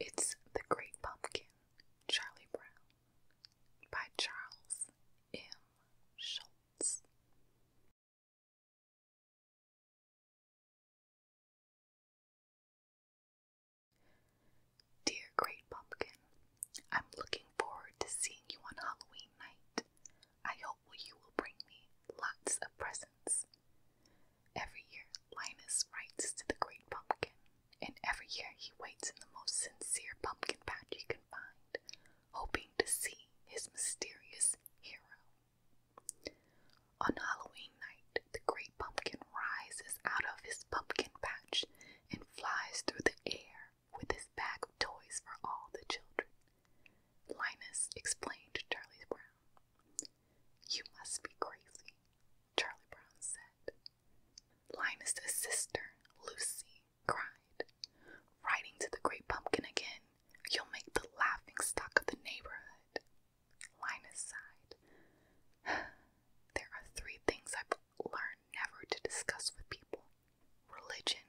It's The Great Pumpkin, Charlie Brown by Charles M. Schultz. Dear Great Pumpkin, I'm looking forward to seeing you on Halloween night. I hope you will bring me lots of presents. Every year, Linus writes to the great pumpkin, and every year he waits in the most sincere pumpkin patch he can find, hoping to see his mysterious hero. On Halloween night, the great pumpkin rises out of his pumpkin patch and flies through the air with his bag of toys for all the children. Linus explained to Charlie Brown. You must be crazy, Charlie Brown said. Linus's sister, Lucy, cried. Riding to the great pumpkin again, you'll make the laughing stock of the neighborhood. Linus sighed. There are three things I've learned never to discuss with people religion,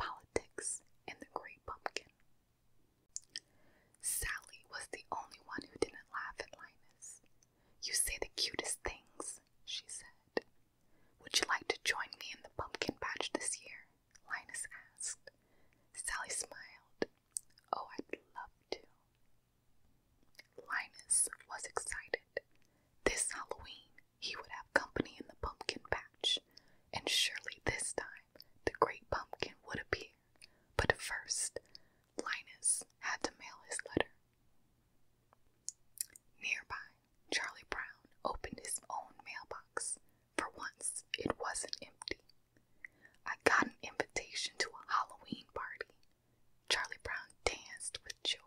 politics, and the great pumpkin. Sally was the only one who didn't laugh at Linus. You say the cutest things, she said. Would you like to join me in the pumpkin patch this year? Linus asked. Sally smiled. Oh, I'd love to. Linus was excited. This Halloween, he would have company in the pumpkin patch, and surely this time the great pumpkin would appear, but first Linus had to mail his letter. Nearby, Charlie Brown opened his own mailbox. For once, it wasn't empty. I got an invitation to a Halloween party. Charlie Brown danced with joy.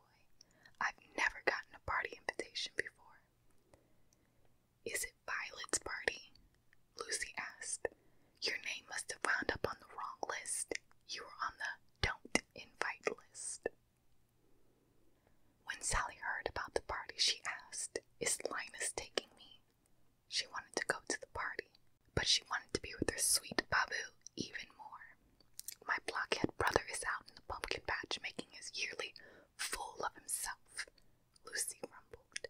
I've never gotten a party invitation before. Is it Violet's party? Lucy asked. Your name must have wound up on the wrong list. You were on the don't invite list. When Sally heard about the party, she asked, Is Linus taking me? She wanted to go to the party, but she wanted to be with her sweet Babu even more. My blockhead brother is out in the pumpkin patch making his yearly fool of himself, Lucy rumbled.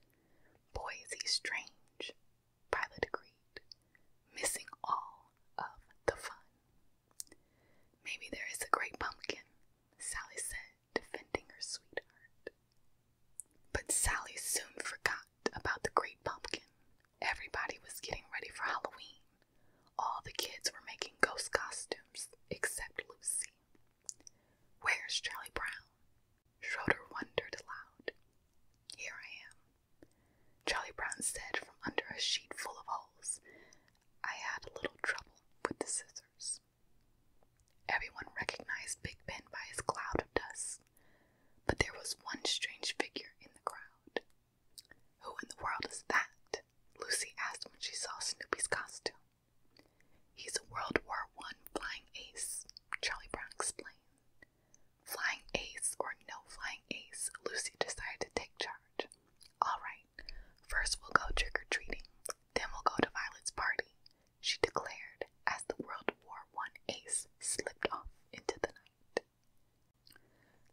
Boy, is he strange, Violet agreed, missing all of the fun. Maybe there is a great pumpkin, Sally said, defending her sweetheart. But Sally soon forgot about the great pumpkin. Everybody was getting ready for Halloween. All the kids were making ghost costumes except Lucy. Where's Charlie Brown? Schroeder wondered aloud. Here I am. Charlie Brown said from under a sheet full of holes. I had a little trouble with the scissors. Everyone recognized Big Ben by his cloud of dust, but there was one strange figure in the crowd. Who in the world is that? Lucy asked when she saw Snoopy's costume. He's a World War One flying ace, Charlie Brown explained. Flying ace or no flying ace, Lucy decided to take charge. All right, first we'll go trick or treating, then we'll go to Violet's party, she declared as the World War One ace slipped off into the night.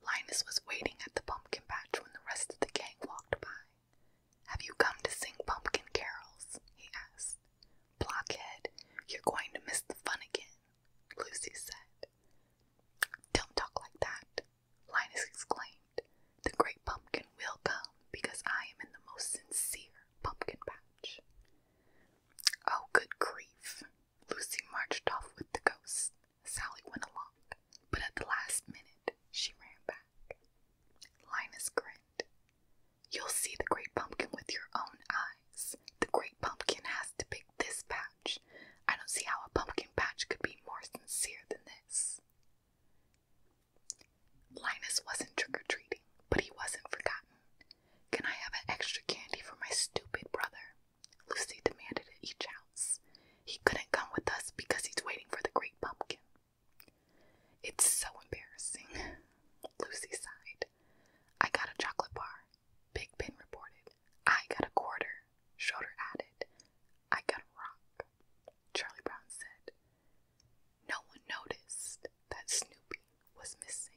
Linus was waiting at the pumpkin patch when the rest of the gang walked by. Have you come to sing pumpkin carols? he asked. Blockhead, you're going to miss the fun again, Lucy said. Don't talk like that, Linus exclaimed. The great pumpkin will come because I am in the most sincere pumpkin patch. Oh, good grief. Lucy marched off with the ghost. Sally went along, but at the last minute she ran back. Linus grinned. You'll see the great pumpkin with your own eyes. The great pumpkin has to pick this patch. I don't see how a pumpkin patch could be more sincere than this. Linus wasn't trick or treating, but he wasn't forgotten. Can I have an extra candy for my stupid brother? Lucy demanded at each house. He couldn't come with us because he's waiting for the great pumpkin. It's so embarrassing, Lucy sighed. I got a chocolate bar, Big Ben reported. I got a quarter, Schroeder added. I got a rock, Charlie Brown said. No one noticed that Snoopy was missing.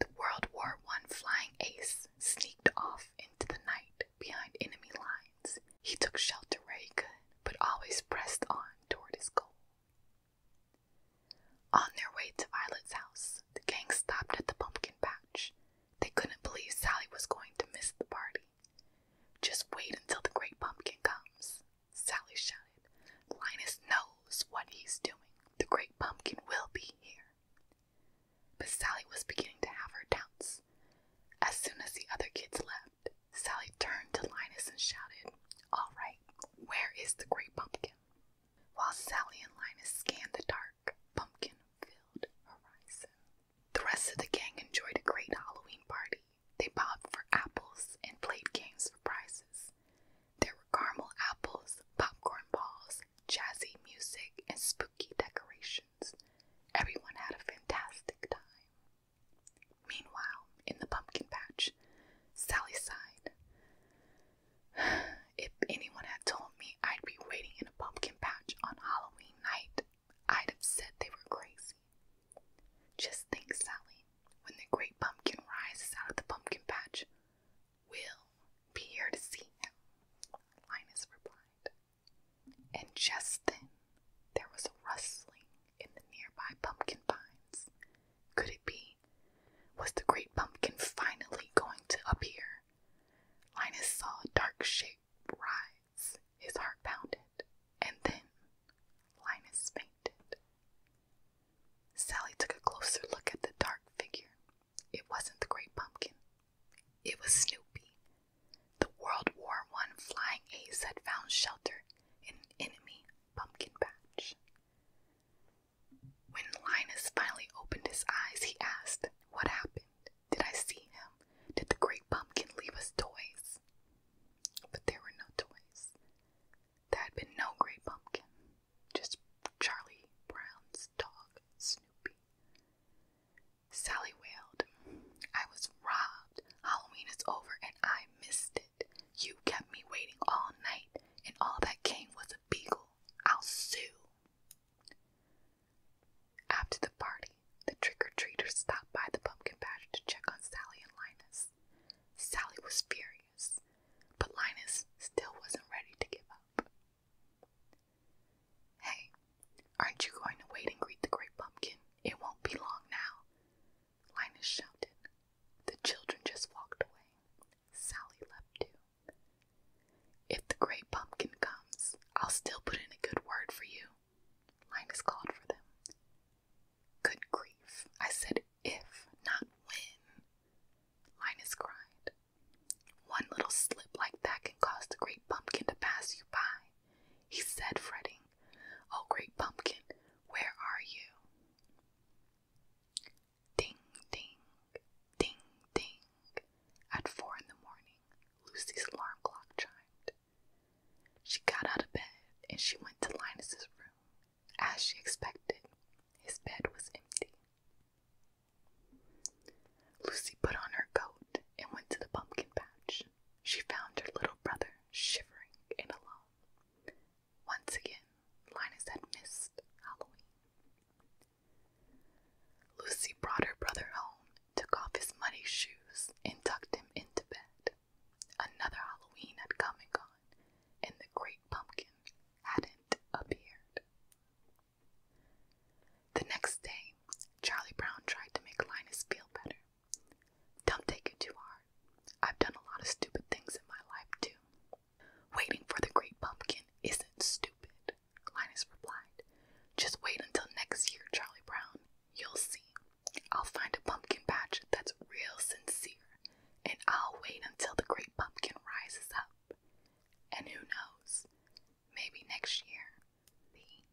The World War One flying ace sneaked off into the night behind enemy lines. He took shelter where he but always pressed on toward his goal. On their way to Violet's house, the gang stopped at the pumpkin patch. They couldn't believe Sally was going to miss the party. Just wait until the great pumpkin comes, Sally shouted. Linus knows what he's doing. The great pumpkin will be here. But Sally was beginning to have her doubts. As soon as the other kids left, Sally turned to Linus and shouted, All right, where is the great pumpkin? While Sally and Linus scanned the dark, pumpkin filled horizon, the rest of the gang enjoyed a great Halloween party. They bobbed for apples and played games for prizes. There were caramel apples, popcorn balls, jazzy music, and spooky decorations. Everyone had a fantastic time. Meanwhile, in the pumpkin patch, Sally sighed. If anyone had told me I'd be waiting in a pumpkin patch on Halloween night, I'd have said they were crazy. Just think, Sally, when the great pumpkin rises out of the pumpkin patch, will be here to see him, Linus replied. And just then there was a rustling in the nearby pumpkin vines. Could it be? Was the great pumpkin finally going to appear? Linus saw a dark shape rise. His heart pounded, and then Linus fainted. Sally took a closer look at the dark figure. It wasn't the Great Pumpkin. It was Snoopy. The World War I flying ace had found shelter in an enemy pumpkin patch. When Linus finally opened his eyes, he asked, What happened? Did I see him? Did the Great Pumpkin leave us toys? But there were no toys. There had been no Great Pumpkin just Charlie Brown's dog, Snoopy. Sally wailed, I was robbed. Halloween is over and I missed it. You kept me waiting all night, and all that came was a beagle. I'll sue. After the party, the trick or treaters stopped by the pumpkin patch to check on Sally and Linus. Sally was furious serious, but Linus still wasn't ready to give up. Hey, aren't you going to wait and greet the great pumpkin? It won't be long now, Linus shouted. The children just walked away. Sally left too. If the great pumpkin comes, I'll still put in a good word for you, Linus called for them. Good grief. I said if, not when. Linus cried. One little slip like that can cause the great pumpkin to pass you by, he said, fretting. Oh, great pumpkin, where are you? Ding, ding, ding, ding. At four in the morning, Lucy's alarm clock chimed. She got out of bed and she went to Linus's room as she expected, his bed was empty. Lucy put on her coat and went to the pumpkin patch. She found her little brother shivering and alone. Once again, Linus had missed Halloween. Lucy brought her brother home, took off his muddy shoes, and tucked him into bed. Another Halloween had come and gone, and the great pumpkin hadn't appeared. The next day, Charlie Brown tried to make Linus feel better. Don't take it too hard. I've done a lot of stupid things in my life, too. Waiting for the great pumpkin isn't stupid, Linus replied. Just wait until next year, Charlie Brown. You'll see. I'll find a pumpkin patch that's real sincere, and I'll wait until the great pumpkin rises up. And who knows, maybe next year. The